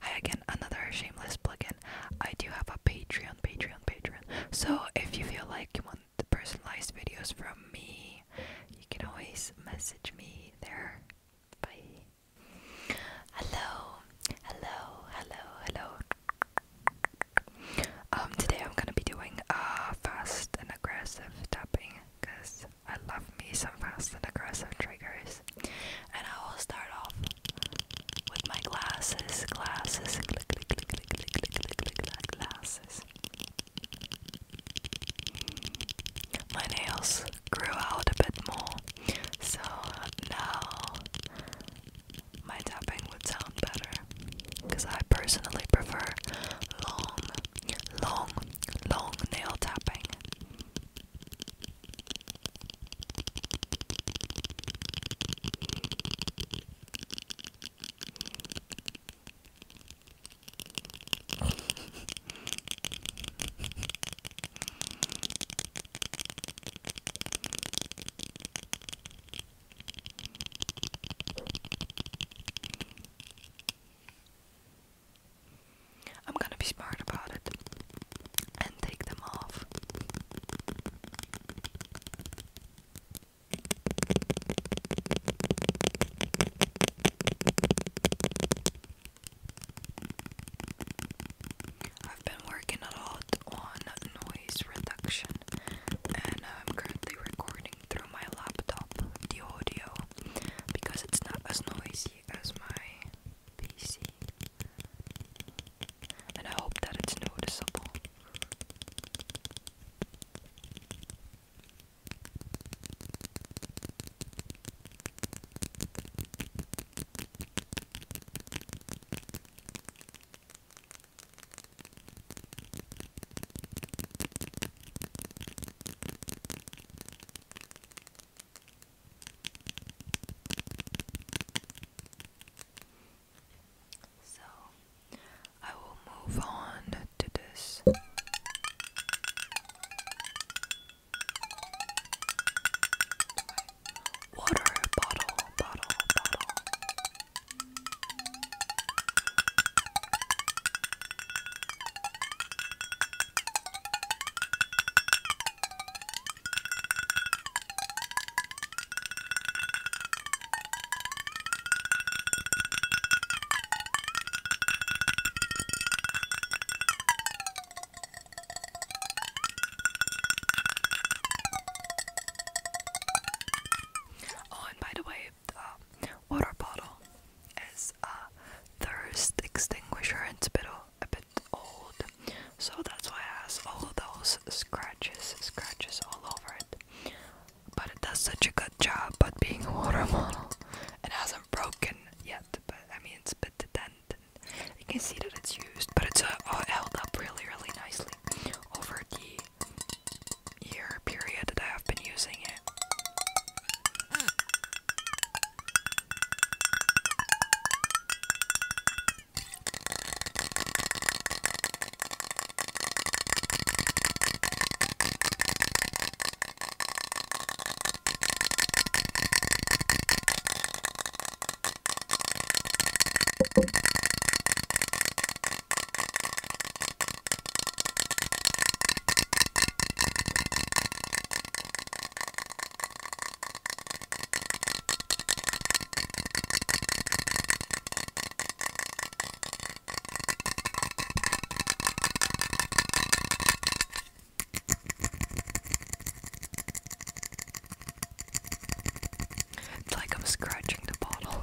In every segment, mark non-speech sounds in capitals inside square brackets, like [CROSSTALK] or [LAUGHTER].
Hi again, another shameless plugin. I do have a Patreon, Patreon, Patreon. So if you feel like you want the personalized videos from me, you can always message me there. Bye. Hello, hello, hello, hello. Um, today I'm gonna be doing uh fast and aggressive tapping because I love me some fast and aggressive triggers. And I will start off with my glasses, glasses, click, click, click, click, click, click, click, click, glasses. My nails grew out a bit more, so now my tapping would sound better because I personally prefer long, long, long nail tapping. I'm gonna be smart about it and take them off. I've been working a lot on noise reduction and I'm currently recording through my laptop the audio because it's not as noisy as my PC. And I hope that it's noticeable. So I will move on to this. Water bottle, Oh, and by the way, shaped um, water bottle is a thirst extinguisher. It's a bit, a bit old, so that's why it has all those scratches, scratches all over it. But it does such a good job But being a water [LAUGHS] bottle. It hasn't broken yet, but I mean, it's a bit dented. You can see that it's used, but it's uh, held up really, really nicely over the year period that I have been using it. It's like I'm scratching the bottle.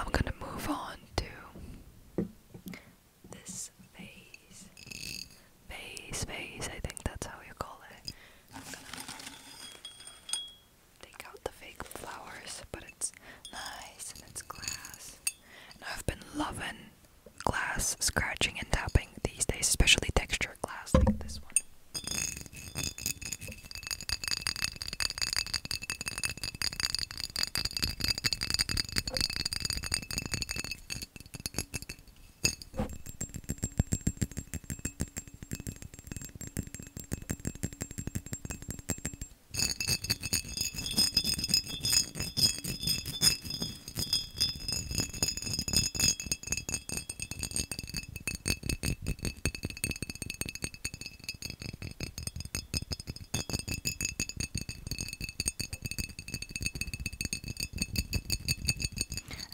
I'm going to move on to this phase. Phase, phase, I think that's how you call it. I'm gonna take out the fake flowers, but it's nice and it's glass. And I've been loving glass scratching and tapping these days, especially textured glass like this one.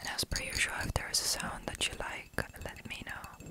And as per usual, if there is a sound that you like, let me know.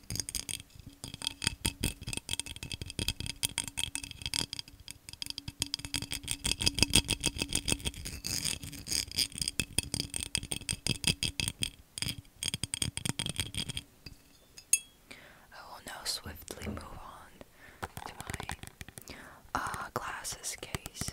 I will now swiftly move on to my uh, glasses case.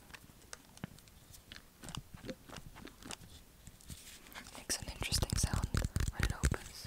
Makes an interesting sound when it opens.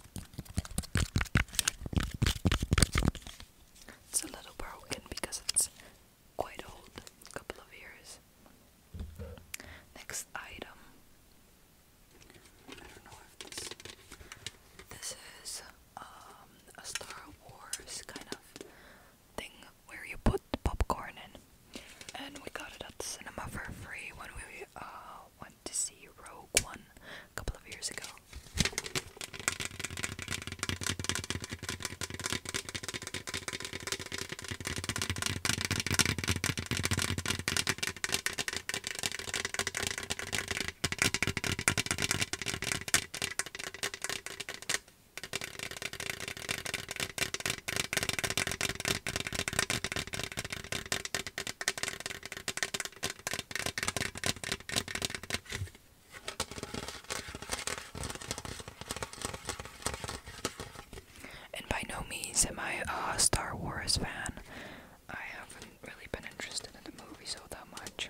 It's a little broken because it's quite old, a couple of years. Next item. this is um, a Star Wars kind of thing where you put popcorn in, and we got it at the cinema for free when we uh, to see Rogue One a couple of years ago. And by no means am I a Star Wars fan. I haven't really been interested in the movies all that much.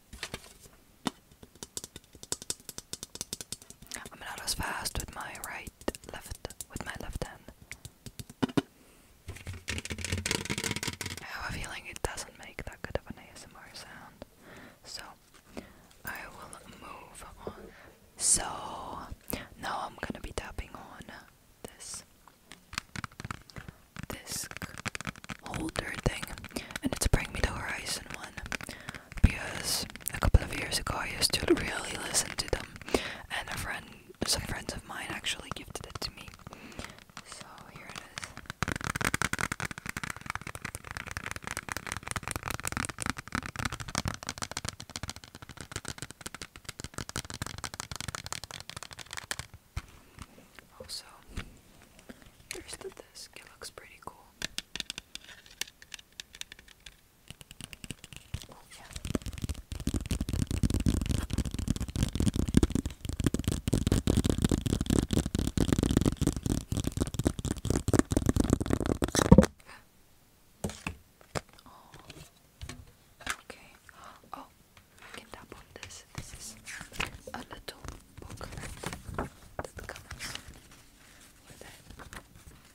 I'm not as fast with my right, left, with my left hand. I have a feeling it doesn't make that good of an ASMR sound, so I will move on. So now I'm gonna be tapping on this this holder thing, and it's bringing me the Horizon one because a couple of years ago I used to really listen to them, and a friend, some friends of mine, actually gifted it to me. So here it is. Also, the rest of this it looks pretty cool. Oh. Okay. Oh, you can tap on this. This is a little booklet that comes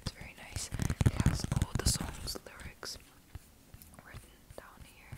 It's very nice. It has all the songs, lyrics written down here.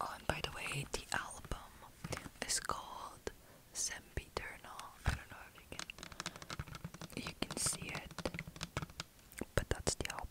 Oh, and by the way, the album is called Sempiternal. I you can see it but that's the album.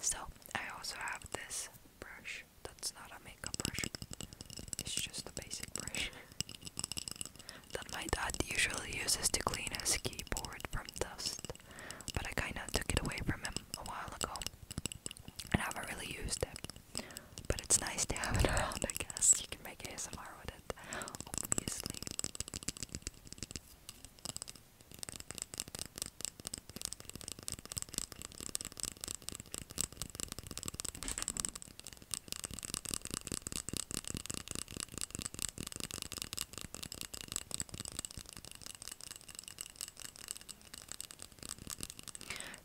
So, I also have this brush that's not a makeup brush, it's just a basic brush [LAUGHS] that my dad usually uses to clean his keyboard from dust, but I kinda took it away from him a while ago. I haven't really used it, but it's nice to have it [LAUGHS] around. I guess you can make ASMR with it, obviously.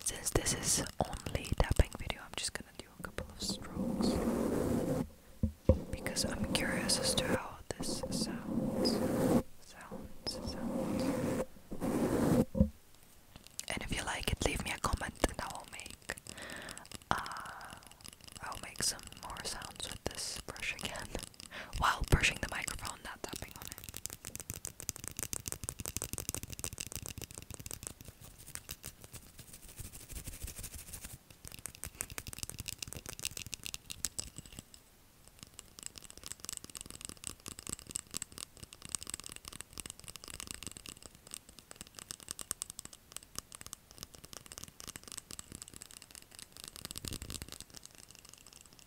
Since this is only tapping video, I'm just gonna do a couple of strokes because I'm curious as to how this sounds. Sounds, sounds. And if you like it, leave me a comment, and I will make uh, I'll make some more sounds with this brush again while brushing the microphone, not tapping on it.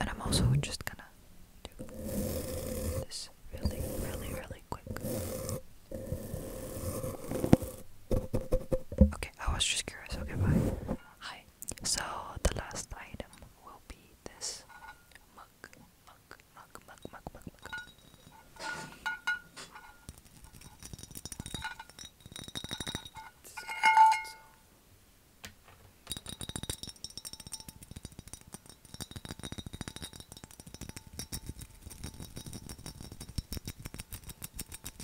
And I'm also just gonna do this really, really, really quick. Okay, I was just curious. Okay, bye. Hi, so the last item will be this mug, mug, mug, mug, mug, mug.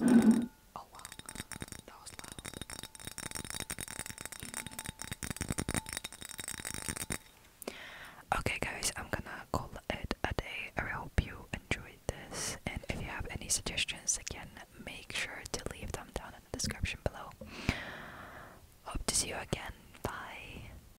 Oh, okay, guys, I'm gonna call it a day. I hope you enjoyed this, and if you have any suggestions, again, make sure to leave them down in the description below. Hope to see you again. Bye.